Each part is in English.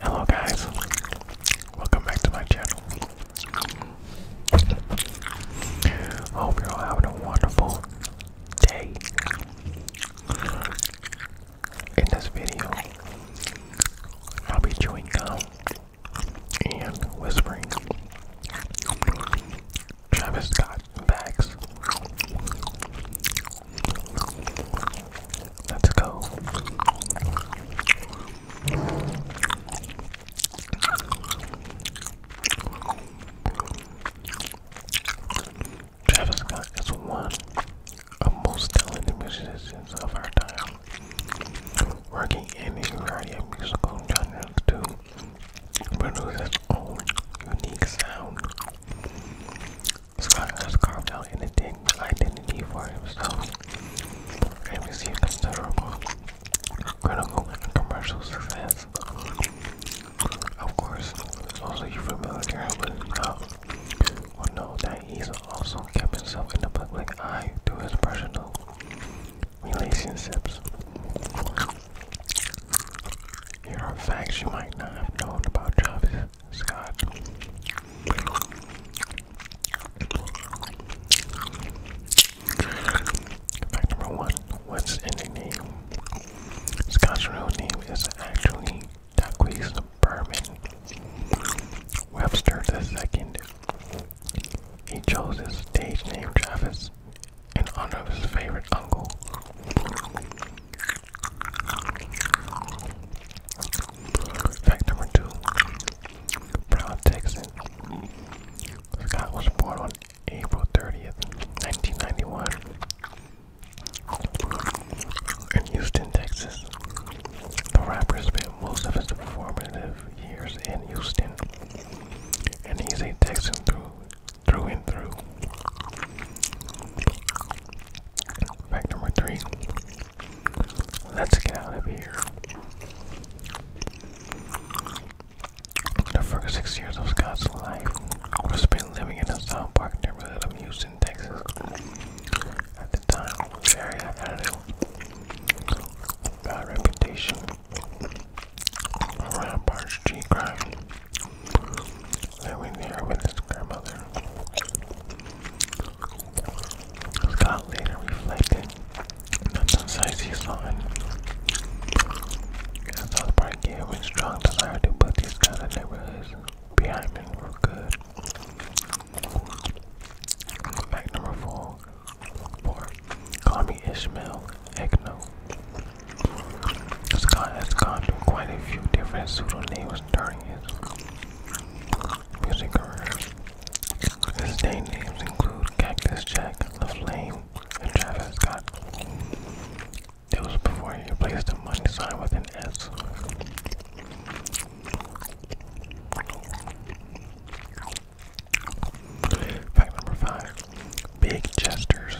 Hello guys, welcome back to my channel. Hope you all having a wonderful day. In this video, I'll be chewing gum and whispering Travis Scott bags. Let's go. Travis Scott is one of most talented musicians of our time, working in a variety of musical genres to produce its own unique sound. Scott has carved out identity for himself and received considerable critical and commercial success. Of course, those of you familiar with Scott uh, will know that he's also kept himself in the public eye through his personal relationships. Here are facts you might not have known about Travis Scott. Fact number one, what's in the name? Scott's real name is actually Daquise Berman Webster the second. He chose his stage name Travis in honor of his favorite uncle. Fact number two Proud Texan. Scott was born on April 30th, 1991, in Houston, Texas. The rapper spent most of his formative years in Houston, and he's a Texan through through, and through. Fact number three. Let's get out of here. The first six years of Scott's life were spent living in a South Park neighborhood of Houston, Texas. At the time, very had a bad reputation Rampart's G crime living there with his grandmother. Scott later reflected that the sights he saw in South Park gave him a strong desire to put these kind of neighborhoods behind me for good. Fact number four or call me Ishmael Egno. Has has gone through quite a few different pseudonyms during his music career. His stage names include Cactus Jack, The Flame, and Travis Scott. It was before he replaced the money sign with an S. Fact number five big Chester's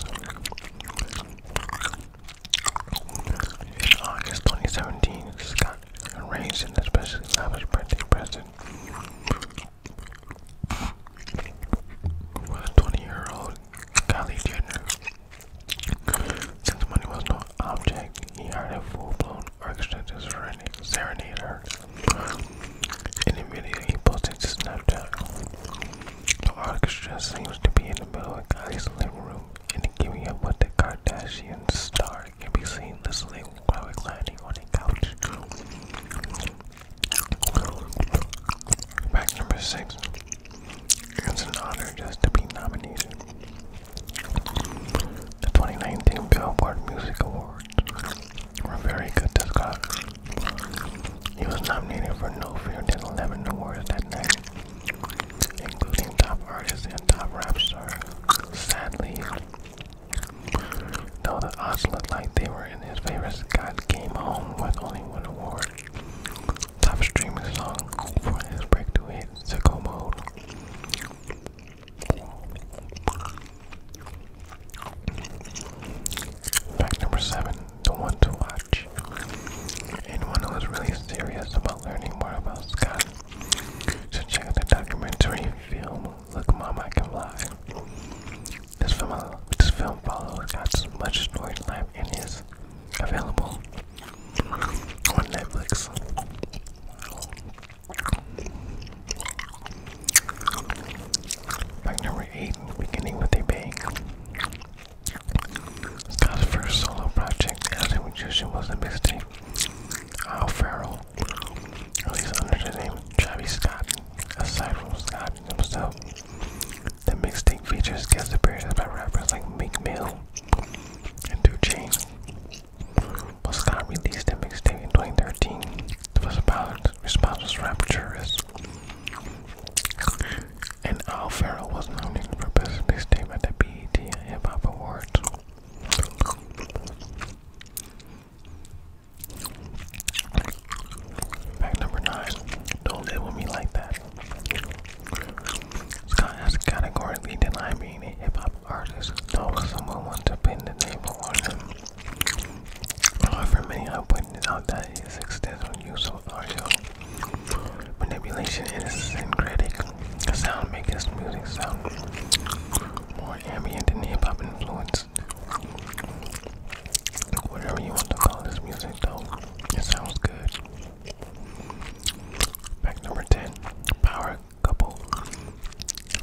In August 2017, Scott arranged an especially lavish birthday present for the 20 year old Kylie Jenner. Since money was no object, he hired a full blown orchestra to any video he posted to Snapchat, the orchestra seems to be in the middle of Kylie's living room and giving up with the Kardashian star can be seen listening while reclining on a couch. Fact number six. It's an honor just to be nominated. The 2019 Billboard Music Awards were very good to He was nominated for no fewer than 11 awards that night, including Top Artist and Top Rap Star. Sadly, though the odds looked like they were in his favor, Scott came home with only one award. Top streaming song for his breakthrough hit, Sicko Mode. Fact number seven, the one to watch. Anyone who is really serious about learning more about Scott should check out the documentary film Look Mom I Can Fly. This film, this film follows Scott's much storied life and is available on Netflix. Fact number eight, beginning with a bang. Scott's first solo project as a musician was a mixtape. Al Farrell, released under the name Travis Scott. Aside from Scott himself, the mixtape features guest appearances by rappers like Meek Mill, and 2Chainz. Scott released a mixtape in 2013. It was about responses rapturous. And Al Farrell was nominated for Best Mixtape at the BET Hip Hop Awards. Fact number 9. Don't live with me like that. Scott has categorically denied being a hip hop artist, though someone wants to pin the name on him. However, many have pointed out that his extensive use of audio manipulation is syncretic. sound makes his music sound more ambient and hip hop influenced. Whatever you want to call this music, though, it sounds good. Pack number 10, Power Couple.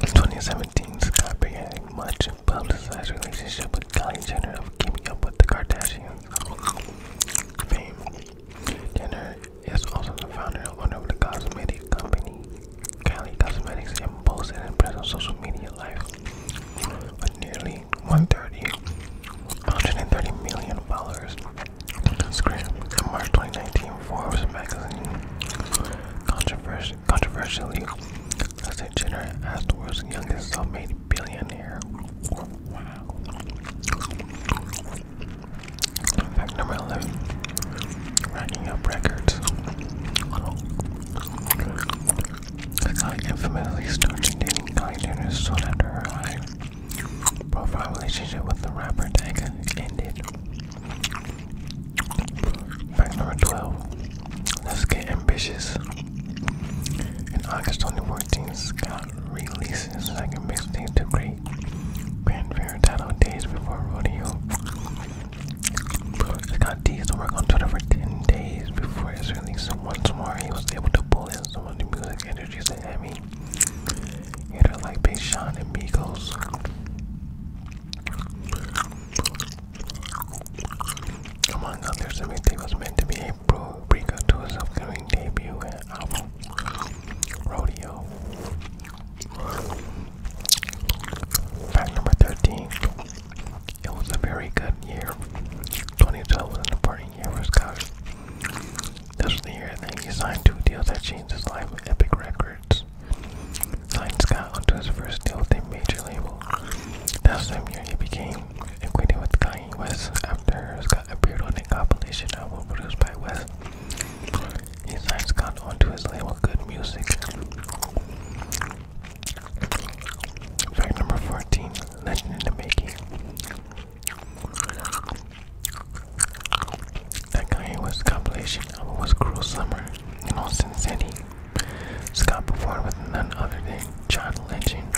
2017, Scott began a much publicized relationship with Kylie Jenner of Keeping Up with the Kardashians fame. Jenner is also the founder and owner of the cosmetic company Kylie Cosmetics and boasts an impressive social media life with nearly 130, 130 million followers March 2019. Forbes magazine Controvers controversially listed Jenner as the world's youngest self-made billionaire. Wow. Fact number 11. Racking up records. I infamously started dating Kylie soon after her high profile relationship with the rapper Tyga ended. Fact number 12. Let's get ambitious. In August 2014, Scott released his second mixtape to Great Grand Fair titled Days Before Rodeo. Scott teased to work on Twitter for 10 days before released once more, he was able to pull in some of the music energies that had like Big Sean and Migos. Among others, everything was meant to be a pre to his upcoming debut and album, Rodeo. Fact number 13. It was a very good year. 2012 was an important year for Scott. This was the year that he signed two deals that changed his life Epic Records. Signed Scott onto his first deal with a major label. That same year, he became acquainted with Kanye West after Scott appeared on a compilation album produced by West. He signed Scott onto his label Good Music. Fact number 14 Legend in the Making. That guy was compilation of a was cruel summer in Austin City. Scott performed with none other than John Legend.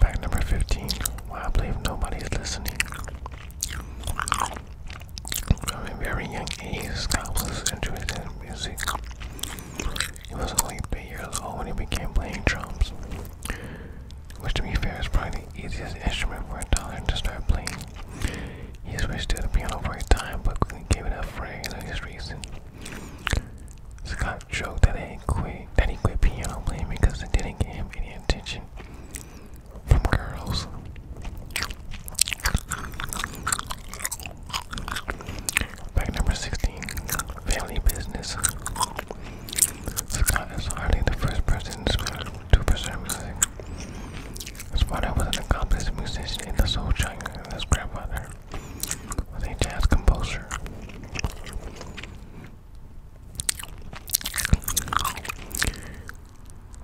Fact number 15. I believe nobody's listening. From a very young age, Scott was interested in music. He was only three years old when he began playing drums, which to be fair is probably the easiest instrument for a toddler to start playing. He switched to the piano for a time, but quickly gave it up for various reasons. Scott joked that he quit that he quit piano playing because it didn't get him any attention from girls. Fact number 16 Family Business. Scott is hardly the first person to pursue music. His father was an accomplished musician in the Soul Child, and his grandfather was a jazz composer.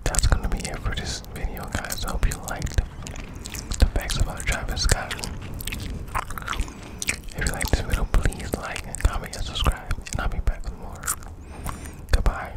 That's gonna be it for this video, guys. I hope you liked the facts about Travis Scott. If you like this video, please like comment and subscribe, and I'll be back with more. Goodbye.